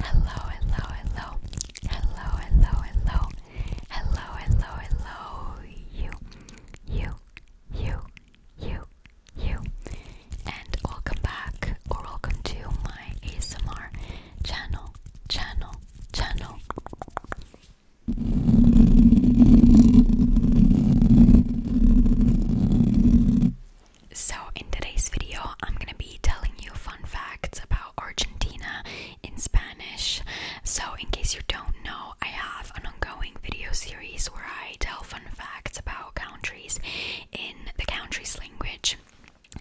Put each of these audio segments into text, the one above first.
Hello, hello, hello, hello, hello, hello, hello, hello, hello, you, you, you, you, you, and welcome back or welcome to my ASMR channel, channel, channel. So, in today's video, I'm gonna be telling you fun facts about Argentina in Spanish. So, in case you don't know, I have an ongoing video series where I tell fun facts about countries in the country's language.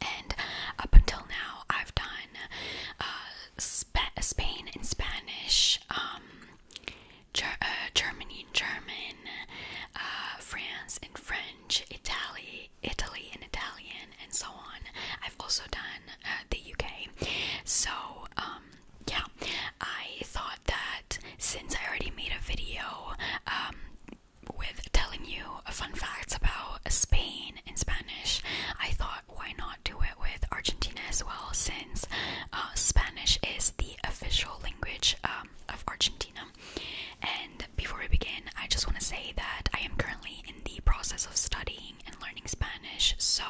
And up until now, I've done uh, Spain in Spanish, um, uh, Germany in German, uh, France in French. Italy, Italy in Italian, and so on. I've also done uh, the UK. So, um, yeah, I thought that since I already made a video um, with telling you fun facts about Spain in Spanish, I thought why not do it with Argentina as well, since uh, Spanish is the official language um, of Argentina. And before we begin, I just want to say that I am currently in the process of studying and learning Spanish, so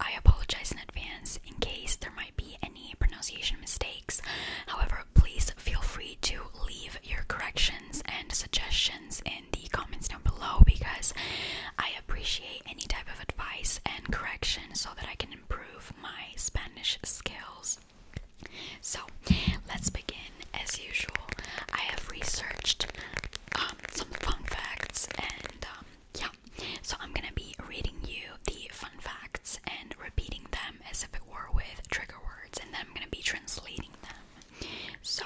I apologize in advance in case there might be any pronunciation mistakes. However, please feel free to leave your corrections and suggestions in the comments down below because I appreciate any type of advice and correction so that I can improve my Spanish skills. So let's begin as usual. I have researched um, some fun facts, and um, yeah, so I'm gonna be reading you the fun facts and repeating them as if it were with trigger words, and then I'm gonna be translating them. So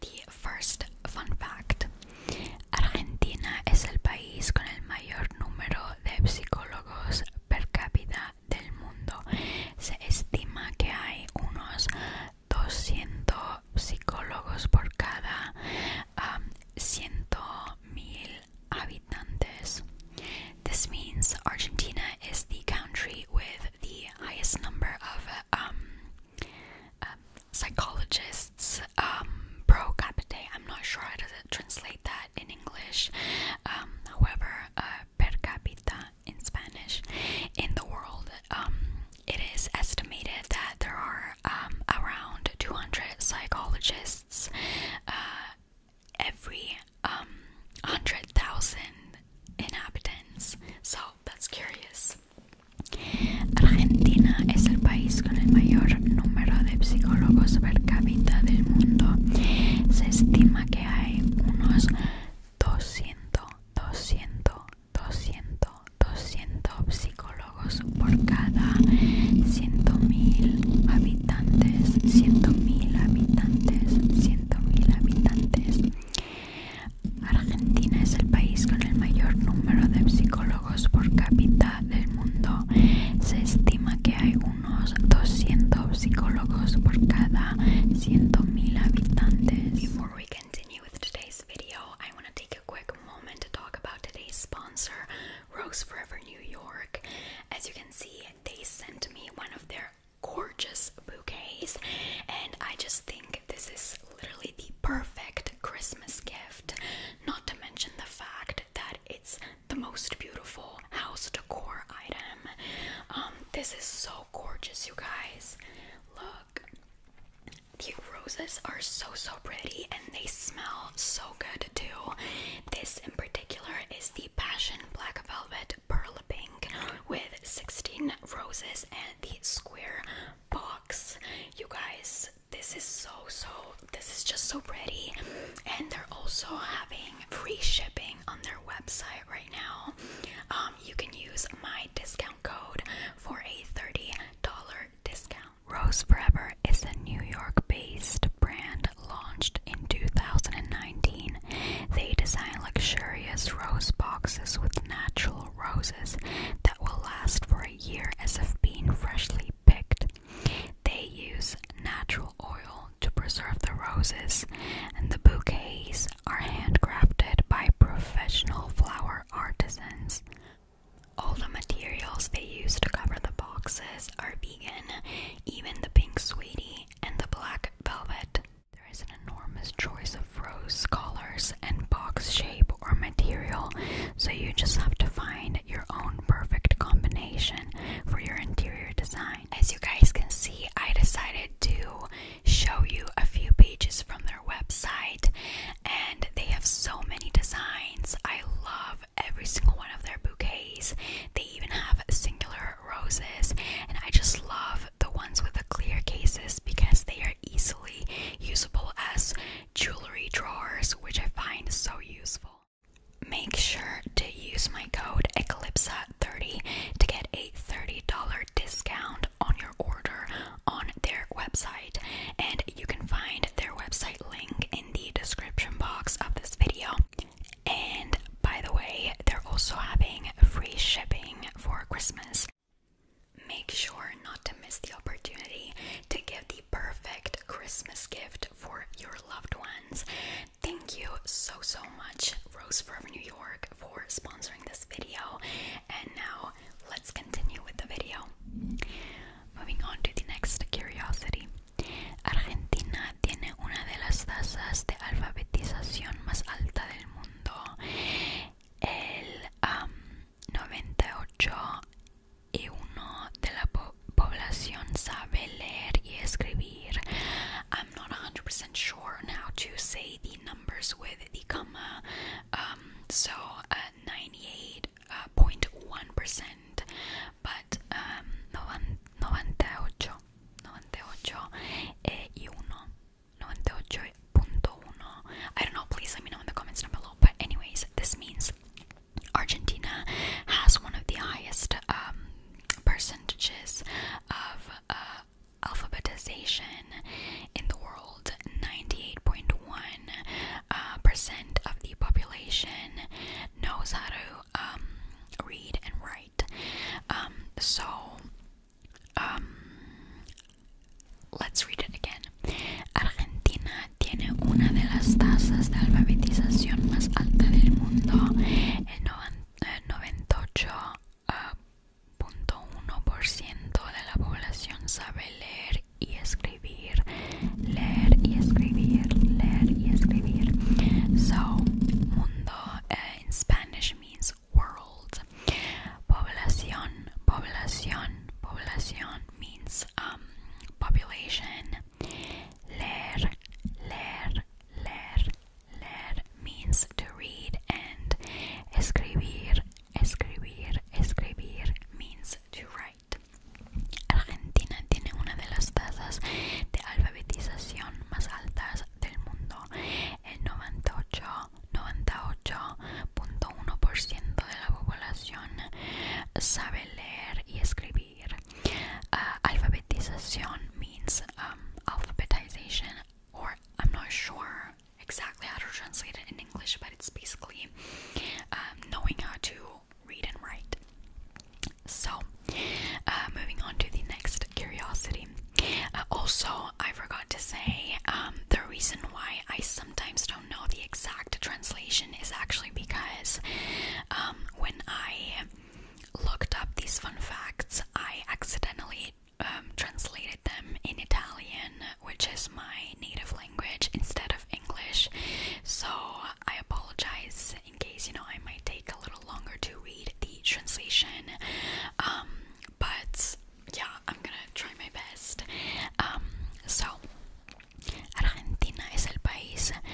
the first fun fact: Argentina es el país con el mayor número de psicólogos per cápita del mundo. Se estima que hay unos 200 psicólogos por cada 100.000 um, habitantes. This means Argentina is the country with the highest number of um, uh, psychologists um, pro capita, I'm not sure how to translate that in English. Um, however, uh, per capita in Spanish in the world, um, it is estimated that there are um, around 200 psychologists uh, every 100,000 inhabitants. So that's curious. Argentina es el país con el número de psicólogos per cápita del mundo. Se estima que hay unos 200, 200, 200, 200 psicólogos por cada 100.000 habitantes, 100.000 habitantes, 100.000 habitantes. Argentina es el país con el mayor número de psicólogos por cápita del mundo. Se estima que hay Before we continue with today's video, I want to take a quick moment to talk about today's sponsor, Rose Forever New York. As you can see, they sent me one of their gorgeous bouquets, and I just think this is literally the perfect Christmas gift. Not to mention the fact that it's the most beautiful house decor item. Um, this is so gorgeous, you guys. Look, the roses are so so pretty and they smell so good too. This in particular is the Passion Black Velvet Pearl Pink with 16 roses and the square box. You guys, this is so so this is just so pretty, and they're also having free shipping on their website right now. Um, you can use my discount code for a $30 discount. Rose Forever is a New York based brand launched in 2019. They design luxurious rose boxes with natural roses that will last for a year as if being freshly picked. They use natural oil to preserve the roses, and the bouquets are handcrafted by professional flower artisans. All the materials they use to cover the boxes are vegan, even the pink sweetie and the black velvet. There is an enormous choice of rose colors and box shape or material, so you just have to find your own perfect combination for your interior design. As you guys can see, I decided to show you a few pages from their website, and they have so many designs. I love every single one of their bouquets. They even have singular roses, and I just love the ones with the clear cases because they are easily usable as jewelry drawers, which I find so useful. Make sure to use my code ECLIPSA30 to get a $30 discount on your order on their website. And you can find their website link in the description box of this video. And by the way, they're also having free shipping for Christmas. Make sure not to miss the opportunity to give the perfect Christmas gift for your loved ones. Thank you so so much, Rose for New York, for sponsoring this video. And now let's continue with the video. Moving on to the next curiosity. Argentina tiene una de las tasas de alfabetización más alta del mundo. El um, 98 y uno de la po población sabe leer y escribir. I'm not 100% sure on how to say the numbers with the comma. Um, so 98.1%, uh, uh, but um, 98, 98 e 98.1. I don't know, please let me know in the comments down below. But, anyways, this means Argentina has one of the highest um, percentages of uh, alphabetization in the world. 98.1% uh, of the population knows how to um, read and write. Um, so, let's read it again. Argentina tiene una de las tasas de alfabetización más alta del mundo, el 98.1% de la población sabe leer y escribir, leer y escribir, leer y escribir. So, mundo en eh, Spanish means world. Población, población, población means um, population. Leer, leer, leer, leer means to read and escribir, escribir, escribir means to write. Argentina tiene una de las tasas de alfabetización más altas del mundo. El 98,1% de la población sabe leer y escribir Uh, alphabetization means um, alphabetization, or I'm not sure exactly how to translate it in English, but it's basically um, knowing how to read and write. So, uh, moving on to the next curiosity. Uh, also, I forgot to say um, the reason why I sometimes don't know the exact translation is actually because when I looked up these fun facts, I accidentally um, translated them in Italian, which is my native language, instead of English. So I apologize in case you know I might take a little longer to read the translation. Um, but yeah, I'm gonna try my best. Um, so, Argentina es el país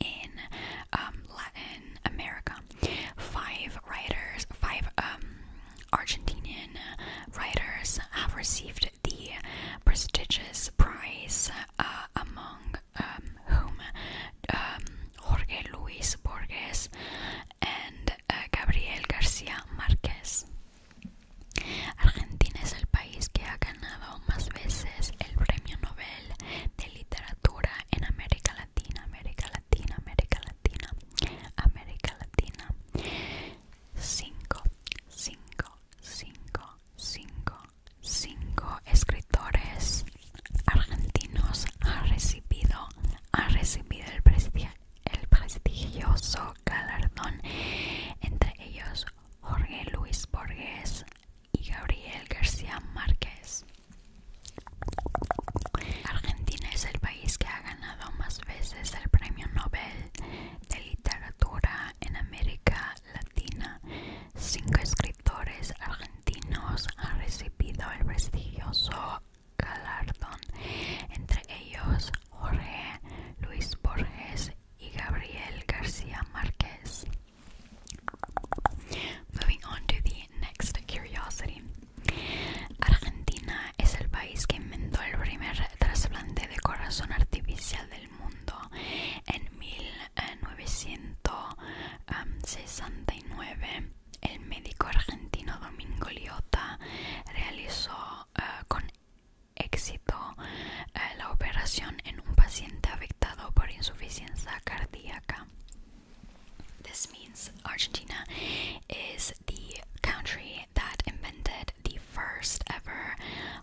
in um, Latin America. Five writers, five um, Argentinian writers have received the prestigious prize, uh, among um, whom Jorge Luis Borges and uh, Gabriel Garcia Marquez. Argentina es el que ha ganado más veces el premio Nobel de literatura en América Latina, América Latina, América Latina, América Latina. 5, 5, 5, 5, 5 escritores argentinos han recibido, ha recibido el, el prestigioso galardón, entre ellos Jorge Luis Borges, y Gabriel García Márquez. Argentina es el país que ha ganado más veces el Premio Nobel de Literatura en América Latina. Cinco escritores argentinos han recibido el prestigioso galardón, entre ellos Jorge Luis Borges y Gabriel García Márquez Moving on to the next curiosity. Argentina es el país que inventó el primer trasplante de corazón artificial del mundo en 1969. El médico argentino Domingo Liotta realizó eh, con éxito eh, la operación en un paciente afectado This means Argentina is the country that invented the first ever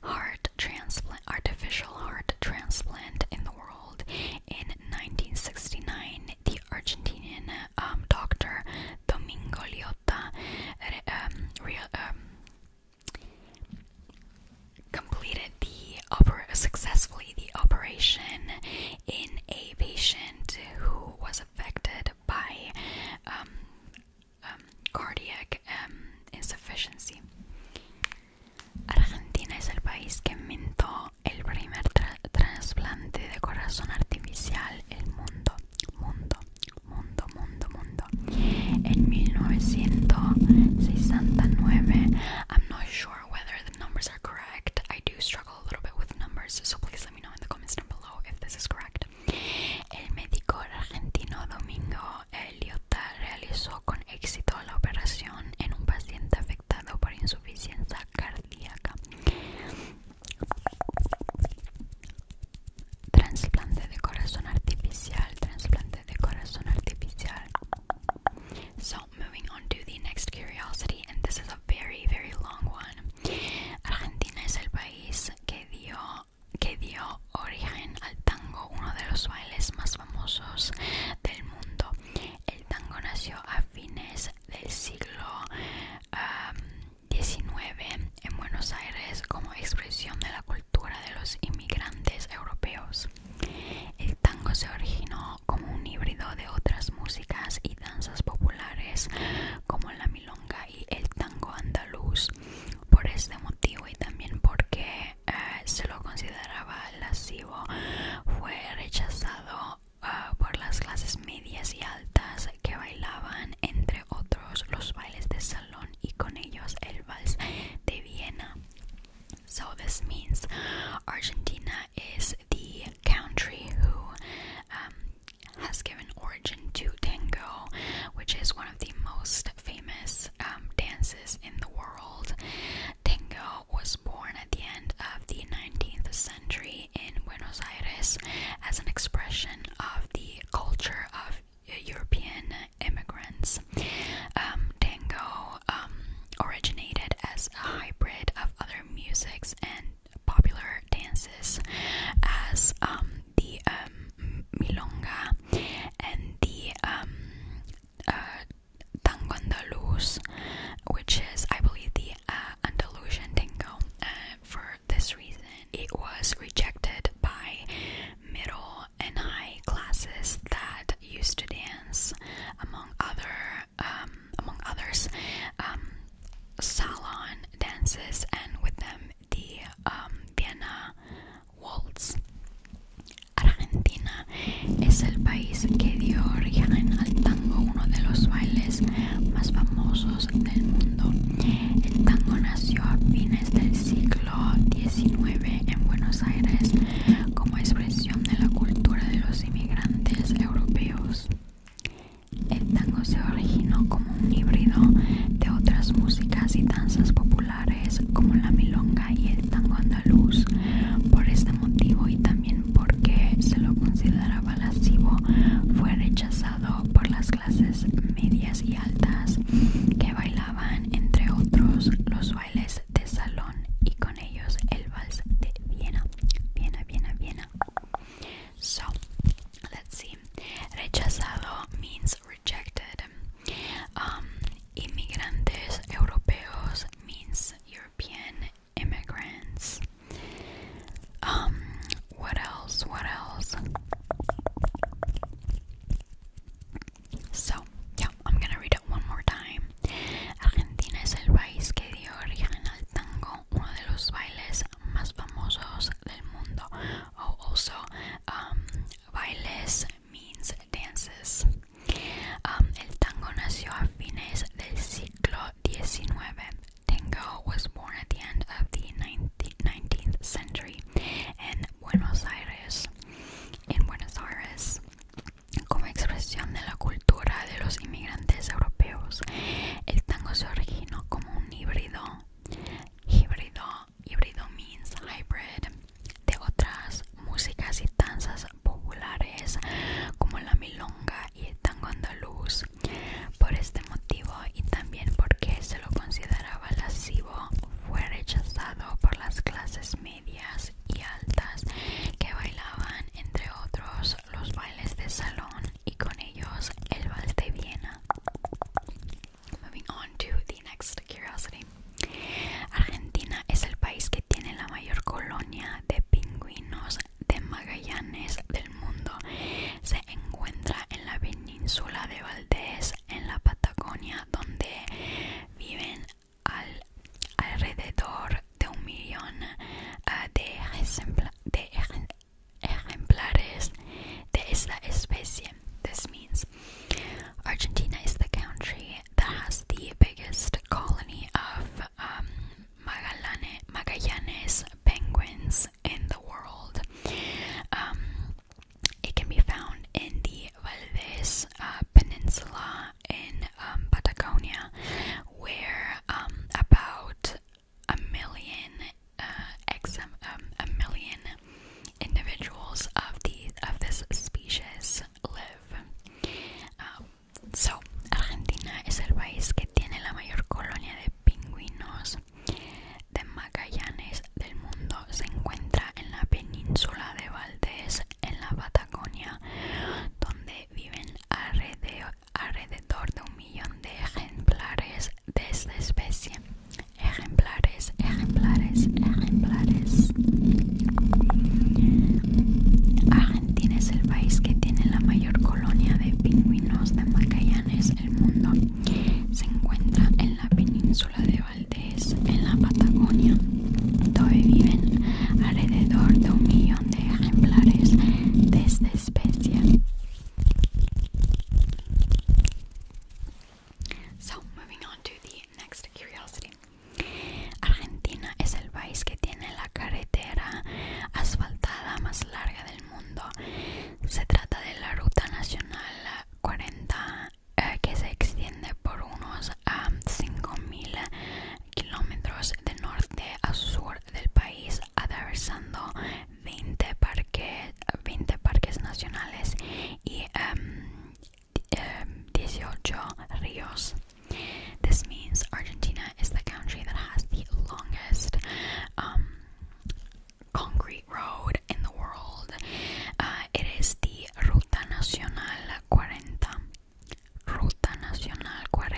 heart transplant, artificial heart transplant in the world. In 1969, the Argentinian um, doctor Domingo Liotta um, completed the successfully the operation in a patient who was affected by um, um, cardiac um, insufficiency. Argentina es el país que inventó el primer trasplante de corazón artificial el mundo, mundo, mundo, mundo, mundo. En 1969, I'm not sure whether the numbers are correct. I do struggle a little bit with numbers, so please let me know in the comments down below if this is correct. El médico argentino Domingo Eliot realizó con éxito la operación en un paciente afectado por insuficiencia cardíaca. Transplante de corazón artificial, transplante de corazón artificial. So, moving on to the next curiosity, and this is a very, very long one. Argentina es el país que dio, que dio origen al tango, uno de los bailes más famosos del mundo. El tango nació a fines del siglo XIX um, en Buenos Aires como expresión de la cultura de los inmigrantes europeos. El tango se originó como un híbrido de otras músicas y danzas populares como la milonga y el tango andaluz. Por este motivo y también porque eh, se lo consideraba lascivo, fue rechazado eh, por las clases medias y altas que bailaban entre otros los bailes de salón y con ellos el vals de Viena. So, this means Argentina is the country who um, has given origin to tango, which is one of the most famous um, dances in the world. Tango was born at the end of the 19th century in Buenos Aires as an expression of the culture of European immigrants. Um, tango um, originated as a hybrid of other musics and popular dances, as um, the milonga and the um, uh, which is, I believe, the uh, Andalusian tango. Uh, for this reason, it was rejected by middle and high classes that used to dance among other um, among others um, salon dances and with them the um, Vienna waltz. Argentina es el país que dio origen al tango, uno de los bailes más famosos del mundo. El tango nació a fines del siglo XIX en Buenos Aires como expresión de la cultura de los inmigrantes europeos. El tango se originó como un híbrido de otras músicas y danzas populares como la milonga y el tango andaluz. Por este motivo y también porque se lo consideraba lascivo, fue rechazado por las clases medias y altas que bailaban, entre otros, los bailes de salón y con ellos el vals de Viena. Viena, Viena, Viena. So, let's see. Rechazado means rejected. Um, inmigrantes europeos means European immigrants. Um, what else? What else? So, yeah, I'm gonna read it one more time. Argentina is the país that dio origen al tango, uno de los bailes más famosos del mundo. Oh, also, um, bailes means dances. Um, tango was born at the end of the 19th, century In Buenos Aires, Como expresión de la cultura de los inmigrantes europeos, el tango se originó como un híbrido. Híbrido, híbrido means hybrid de otras músicas y danzas populares como la milonga y el tango andaluz. Por este motivo y también porque se lo consideraba lascivo, fue rechazado por las clases medias y altas que bailaban entre otros los bailes de salón y con ellos el vals de Viena. Moving on to the next curiosity. Argentina es el país que tiene la mayor colonia de pingüinos de Magallanes del mundo. Se encuentra en la península de Valdés, en la Patagonia, donde viven alrededor de un millón ah, de, ejemplares de esta especie. This means Argentina is the country that has the biggest colony of um, Magallanes penguins in the world. Um, it can be found in the Valdes uh, Peninsula in um, Patagonia, where um, about a million uh, um, a million individuals of the of this species live. so, Argentina es el país que tiene la mayor colonia de pingüinos de Magallanes del mundo. Se encuentra en la península de Valdés en la Patagonia, donde viven alrededor, de un millón de ejemplares de esta especie. Ejemplares, ejemplares, ejemplares. Argentina es el país que tiene la mayor colonia de pingüinos de Magallanes El mundo. Se encuentra en la península de en la Patagonia, donde viven alrededor de un millón de ejemplares de esta especie. Argentina es el país que tiene la carretera asfaltada más larga del mundo. Se trata de la Ruta Nacional 40 eh, que se extiende por unos um, ah, 5.000 kilómetros de norte a sur del país, atravesando 20 parques, 20 parques nacionales y 18 em, em, ríos. This means Argentina is the country that has the longest um, concrete road in the world. Uh, it is the Ruta Nacional 40, Ruta Nacional 40,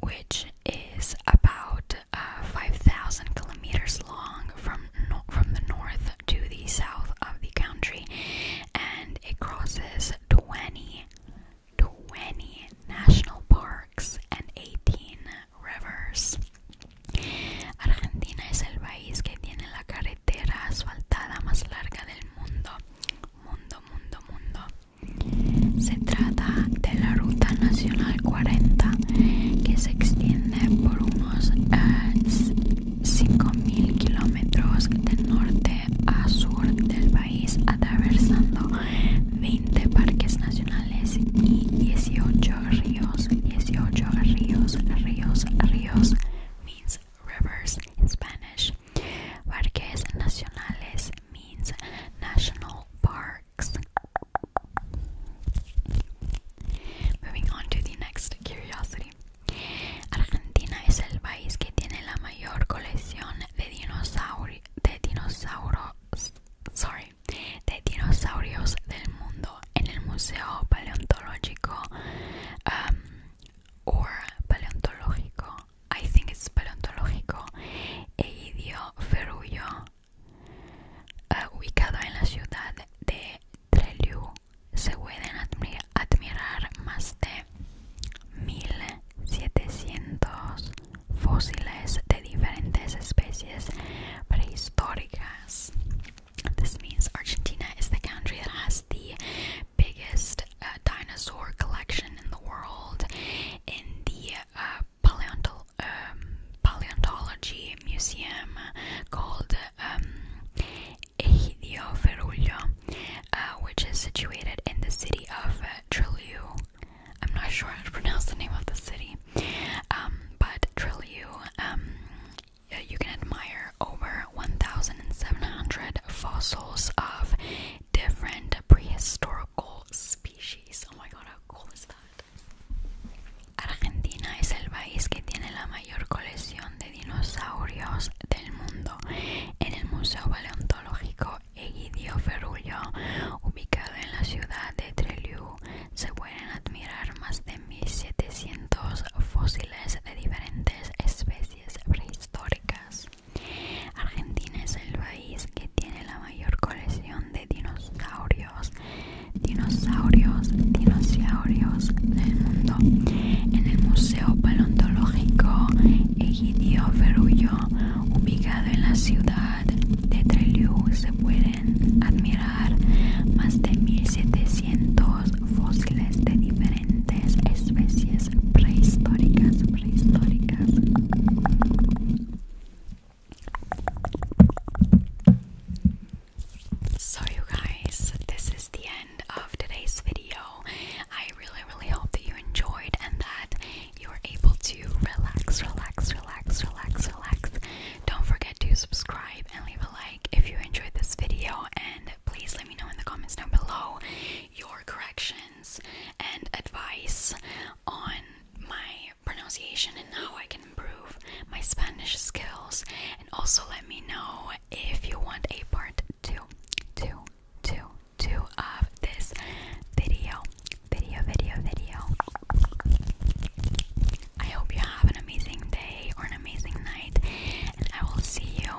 which is about uh, 5,000 kilometers long from, from the north to the south of the country, and it crosses 20, 20 national parks and 18 rivers. Argentina es el país que tiene la carretera carretera asfaltada más larga del mundo. Mundo, mundo, mundo. Se trata de la Ruta Nacional 40 que se extiende por unos 5.000 eh, kilómetros de norte a sur del país atravesando 20 parques nacionales y 18 ríos, 18 ríos, ríos, ríos, rivers in Spanish. Parques nacionales means national parks. Moving on to the next curiosity. Argentina es el país que tiene la mayor colección de dinosaurios sorry, de dinosaurios del mundo en el Museo Paleontológico um, o paleontológico, I think es paleontológico, El idioferullo eh, ubicado en la ciudad de Treliu se pueden admirar más de 1700 fósiles de diferentes especies prehistóricas. This means Argentina is the country that has the biggest uh, dinosaur collection in the world. In the uh, um, paleontology museum called um, Egidio Ferruglio, uh, which is situated in the city of uh, I'm not sure how to pronounce the name of the city, um, but Trelew um, over 1,700 species. Oh Argentina es el país que tiene la mayor colección de dinosaurios del mundo. En el Museo Paleontológico Egidio Ferrullo, ubicado en la ciudad de Trelew, se pueden admirar más de 700 fósiles de diferentes especies prehistóricas. Argentina es el país que tiene la mayor colección de dinosaurios, dinosaurios, dinosaurios del mundo. En el Museo Paleontológico Egidio Ferullo, ubicado en la ciudad de Trelew, se pueden admirar más de 1700 So you guys, this is the end of today's video. I really really hope that you enjoyed and that you were able to relax, relax, relax, relax, relax. Don't forget to subscribe and leave a like if you enjoyed this video and please let me know in the comments down below your corrections and advice on my pronunciation and how I can improve my Spanish skills. And also let me know if you want a part two, two, two, two of this video, video, video, video. I hope you have an amazing day or an amazing night. I will see you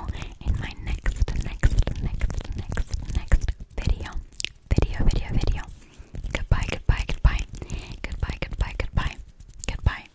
in my next, next, next, next, next video. Video, video, video. Goodbye, goodbye, goodbye. Goodbye, goodbye, goodbye. Goodbye.